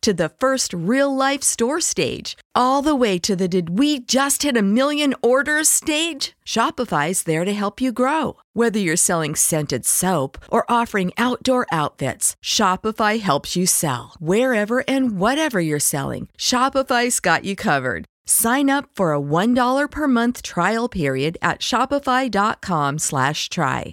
to the first real life store stage, all the way to the did we just hit a million orders stage? Shopify's there to help you grow. Whether you're selling scented soap or offering outdoor outfits, Shopify helps you sell. Wherever and whatever you're selling, Shopify's got you covered. Sign up for a $1 per month trial period at shopify.com slash try.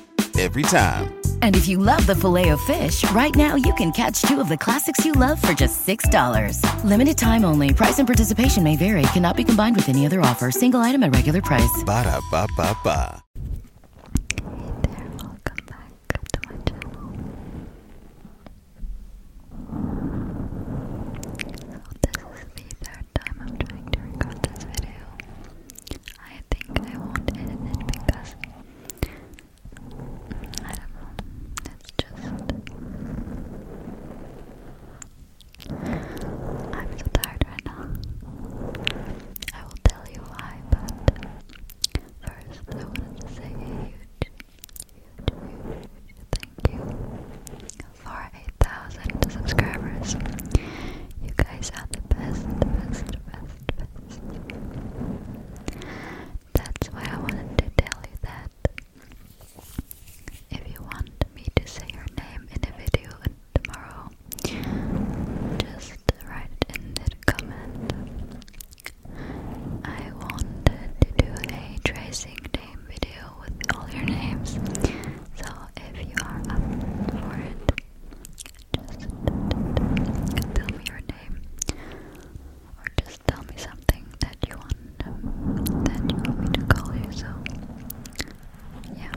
every time. And if you love the filet of fish, right now you can catch two of the classics you love for just $6. Limited time only. Price and participation may vary. Cannot be combined with any other offer. Single item at regular price. Ba da ba ba ba. welcome back to my channel. So this is the third time I'm trying to record this video. I think I won't edit it because I don't know. It's just I'm so tired right now. I will tell you why, but first I wanted to say a huge, huge, huge thank you for 8,000 subscribers. You guys are the best, best, best. That's why I wanted to tell you that. If you want me to say your name in a video tomorrow, just write in the comment. I wanted to do a tracing name video with all your names, so if you are up for it, just tell me your name, or just tell me something that you want that you want me to call you. So, yeah.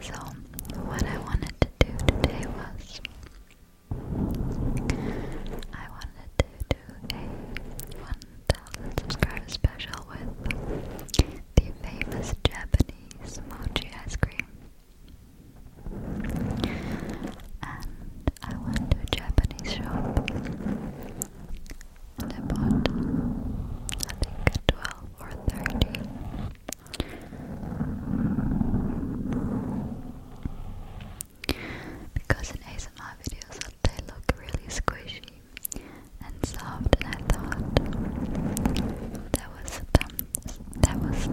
So, what I wanted to do today was I wanted to do a 1000 subscriber special with the famous Japanese mochi ice cream. And I went to a Japanese shop and I bought, I think, 12 or 13. Because in ASMR videos they look really squishy and soft, and I thought that was dumb. That was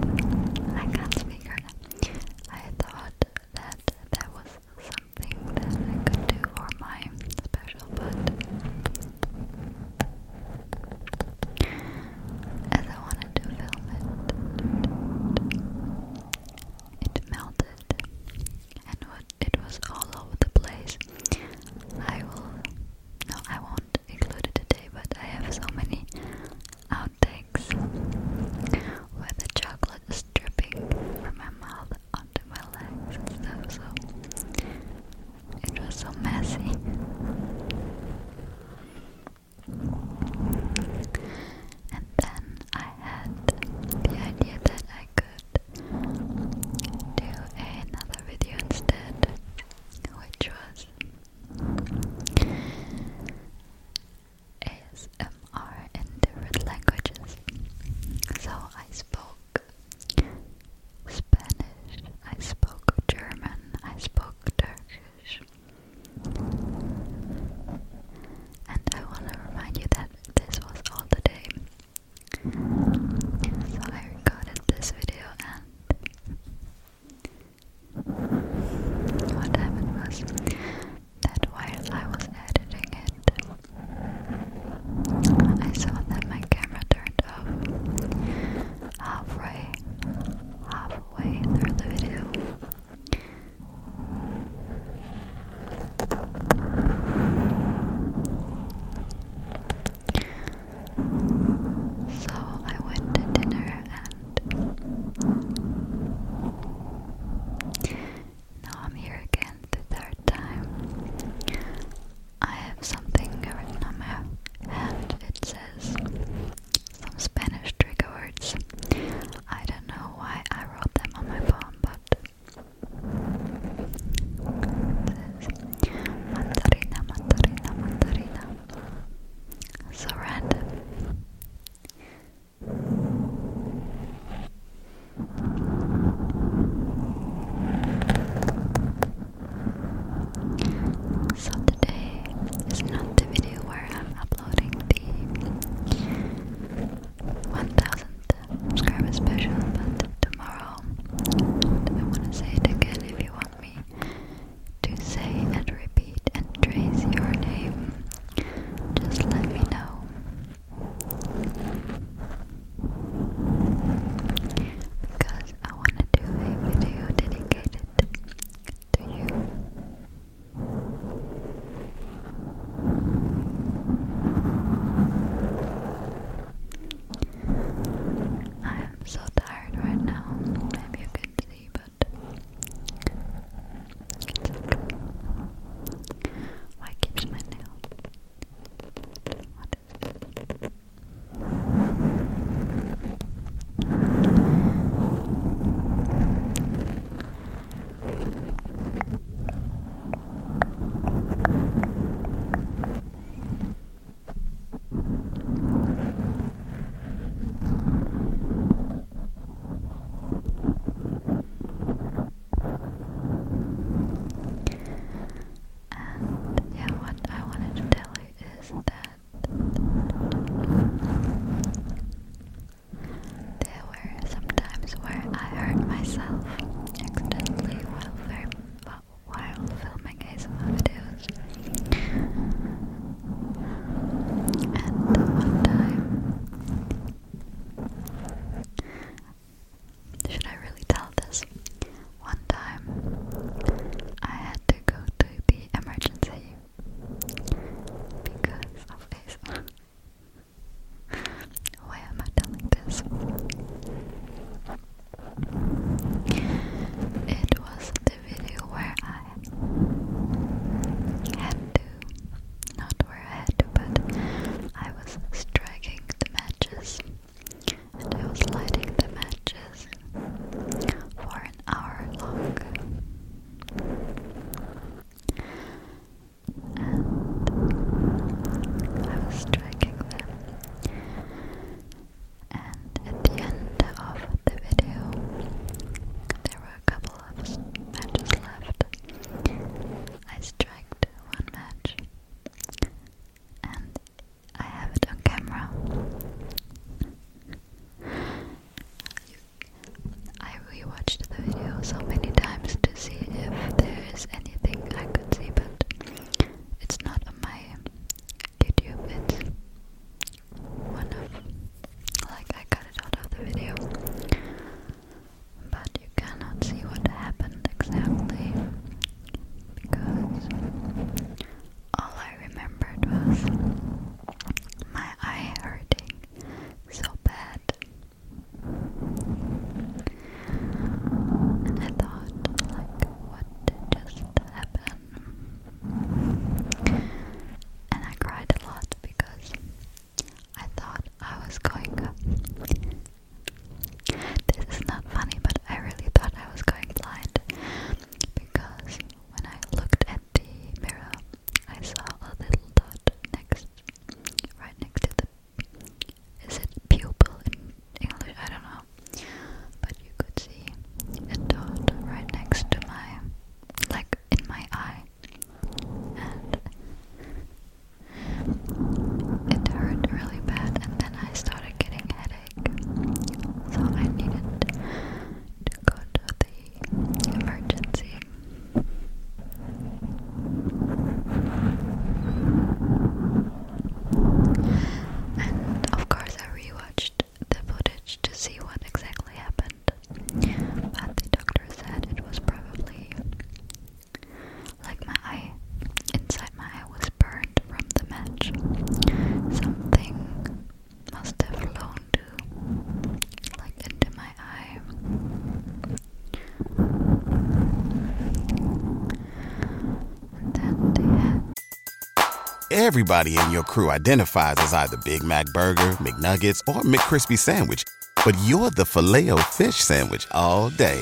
I can't speak right now. I thought that that was something that I could do for my special, but as I wanted to film it. It melted, and it was all over the place. I will, no, I won't include it today, but I have so many outtakes where the chocolate is dripping from my mouth onto my legs and stuff. So it was so messy. And then I had the idea that I could do another video instead, which was ASMR in different languages. So I spoke Spanish, I spoke German, I spoke Turkish, and I want to remind you that this was all today. So I recorded this video and what happened was that while I was editing it, I saw that my camera turned off halfway, halfway through the video. So I went to dinner and now I'm here again the third time. I have something written on my hand. It says some Spanish trigger words. I don't know why I wrote them on my phone, but this is mandarina, mandarina, mandarina. So so today is not the video where I'm uploading the 1000 subscriber special, but tomorrow. I wanna say it again if you want me to say and repeat and trace your name. Just let me know. Because I want to do a video dedicated to you. I am so tired right now. Maybe you can see, but Why keeps my nail? And yeah, what I wanted to tell you is that there were some where I hurt myself accidentally while, film, while filming ASMR videos. And one time, should I really tell this? One time I had to go to the emergency because of ASMR. Why am I telling this? It was the video where I had to, not where I had to, but I was striking the matches and I was lighting the matches for an hour long. And I was striking them. And at the end of the video, there were a couple of matches left. I struck one match, and I have it on camera. I rewatched the video so many times to see if there is anything I could see, but it's not on my YouTube, it's one of. like I cut it out of the video. But you cannot see what happened exactly because all I remembered was my eye hurting so bad. And I thought, like, what just happen? And I cried a lot because I thought I was going. This is not funny, but I really thought I was going blind because when I looked at the mirror, I saw a little dot next, right next to the, is it pupil in English? I don't know, but you could see a dot right next to my, like in my eye, and it hurt really bad, and then I started getting headaches so I needed to go to the emergency. And of course, I rewatched the footage to see what exactly happened. But the doctor said it was probably like my eye, inside my eye was Everybody in your crew identifies as either Big Mac Burger, McNuggets, or McCrispy Sandwich, but you're the Filet-O-Fish Sandwich all day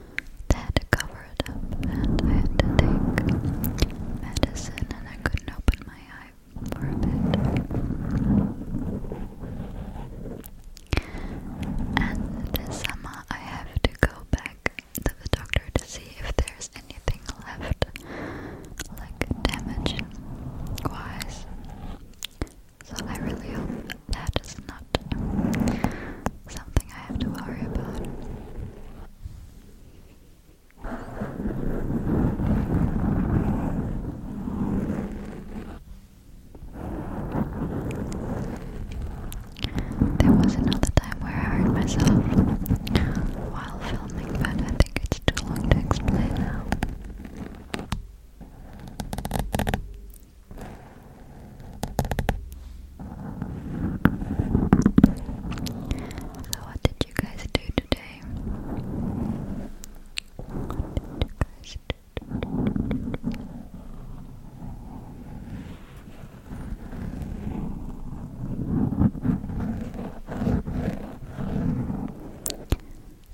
had to cover it up and I had to take medicine and I couldn't open my eyes for a bit. And this summer I have to go back to the doctor to see if there's anything left like damage wise. So I really hope that is not something I have to worry about. There was another time where I hurt myself while filming, but I think it's too long to explain now. So, what did you guys do today?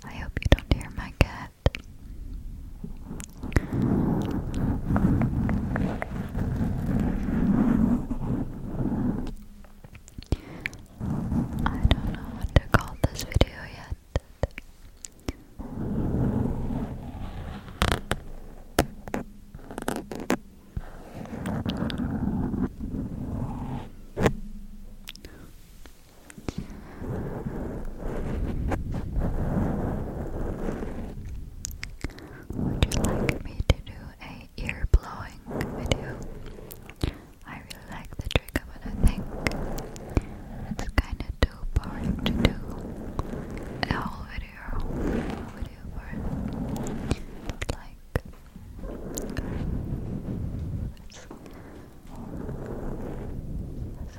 I hope you don't hear my cat that. I don't know what to call this video yet. Would you like me to do a ear blowing video? I really like the trigger, but I think it's kind of too boring to do a whole video, a video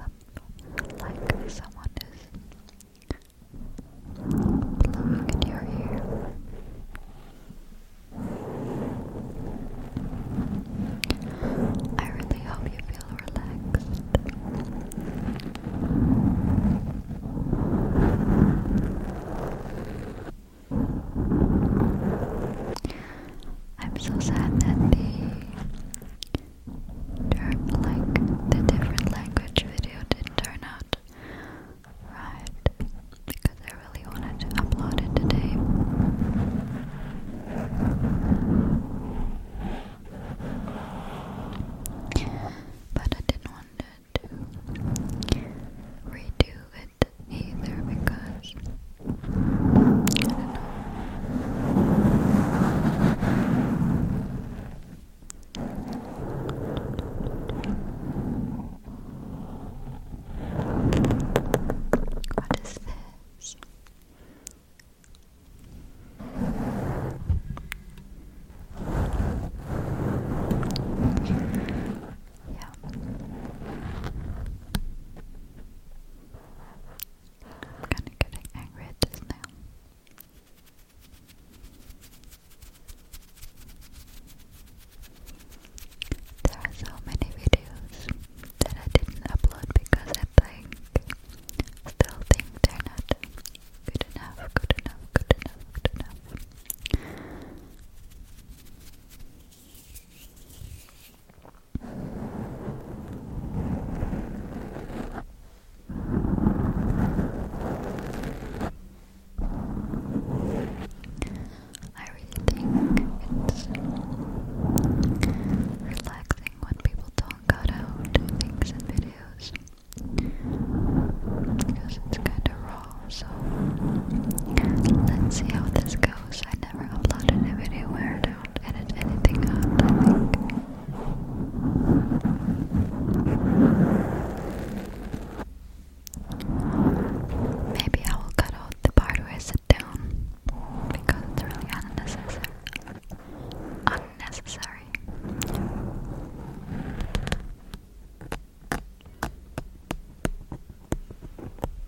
like like someone is blowing in your ear. I really hope you feel relaxed. I'm so sad that the like the different language video didn't turn out right because I really wanted to upload it today. But I didn't want to redo it either because what is this? Yeah. I'm kind of getting angry at this now. There are so many videos that I didn't upload because I still think they're not good enough, good enough, good enough, good enough. I really think it's relaxing when people don't cut out things in videos because it's kind of raw. So let's see how this goes. I never uploaded a video where don't edit anything Maybe I will cut out the part where I sit down because it's really unnecessary. Unnecessary.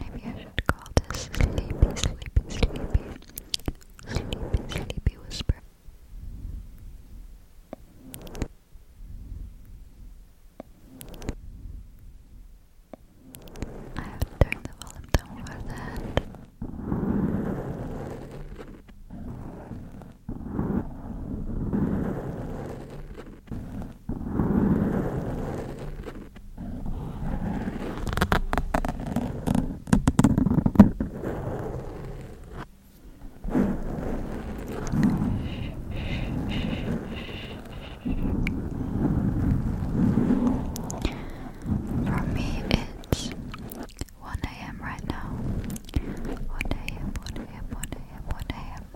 Maybe I should call this sleepy, sleepy, sleepy, sleepy, sleepy whisper. I have to the volume down for that. For me, it's 1 a.m. right now. 1 a.m., 1 a.m., 1 a.m., 1 a.m.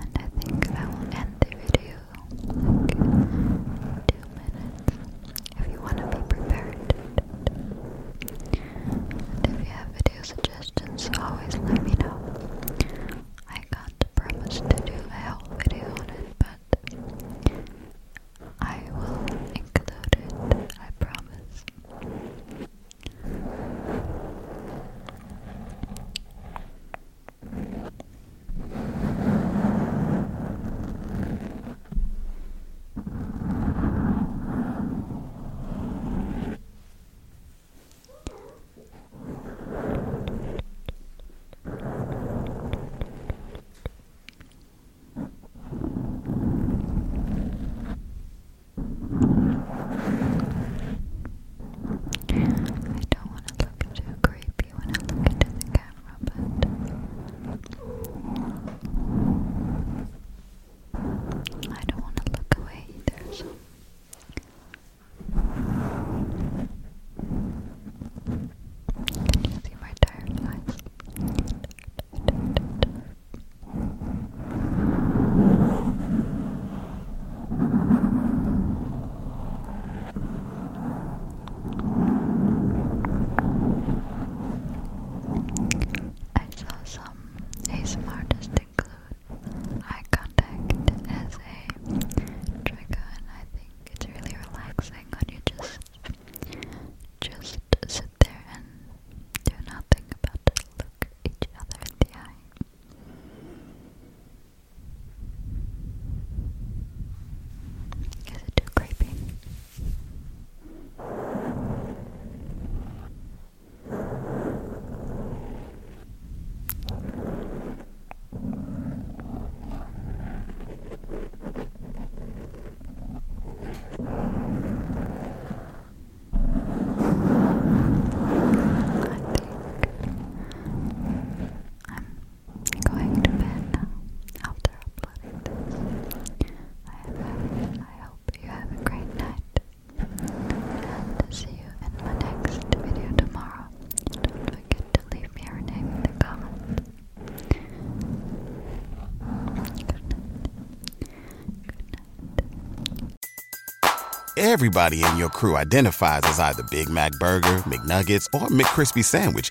And I think I will end the video like two minutes if you want to be prepared. And if you have video suggestions, always let me know. I can't promise to do a whole video on it, but I will include it, I promise. I don't want to look too creepy when I look into the I don't want to look away either, Can you see my tired eyes? I saw some ASMR just include eye contact as a trigger, and I think it's really relaxing when you just just sit there and do nothing but look each other in the eye. Is it too creepy? I think I'm going to bed now after uploading this. I, hope you have a great night and see you in my next video tomorrow. Don't forget to leave me your name in the comments. Everybody in your crew identifies as either Big Mac Burger, McNuggets, or McCrispy Sandwich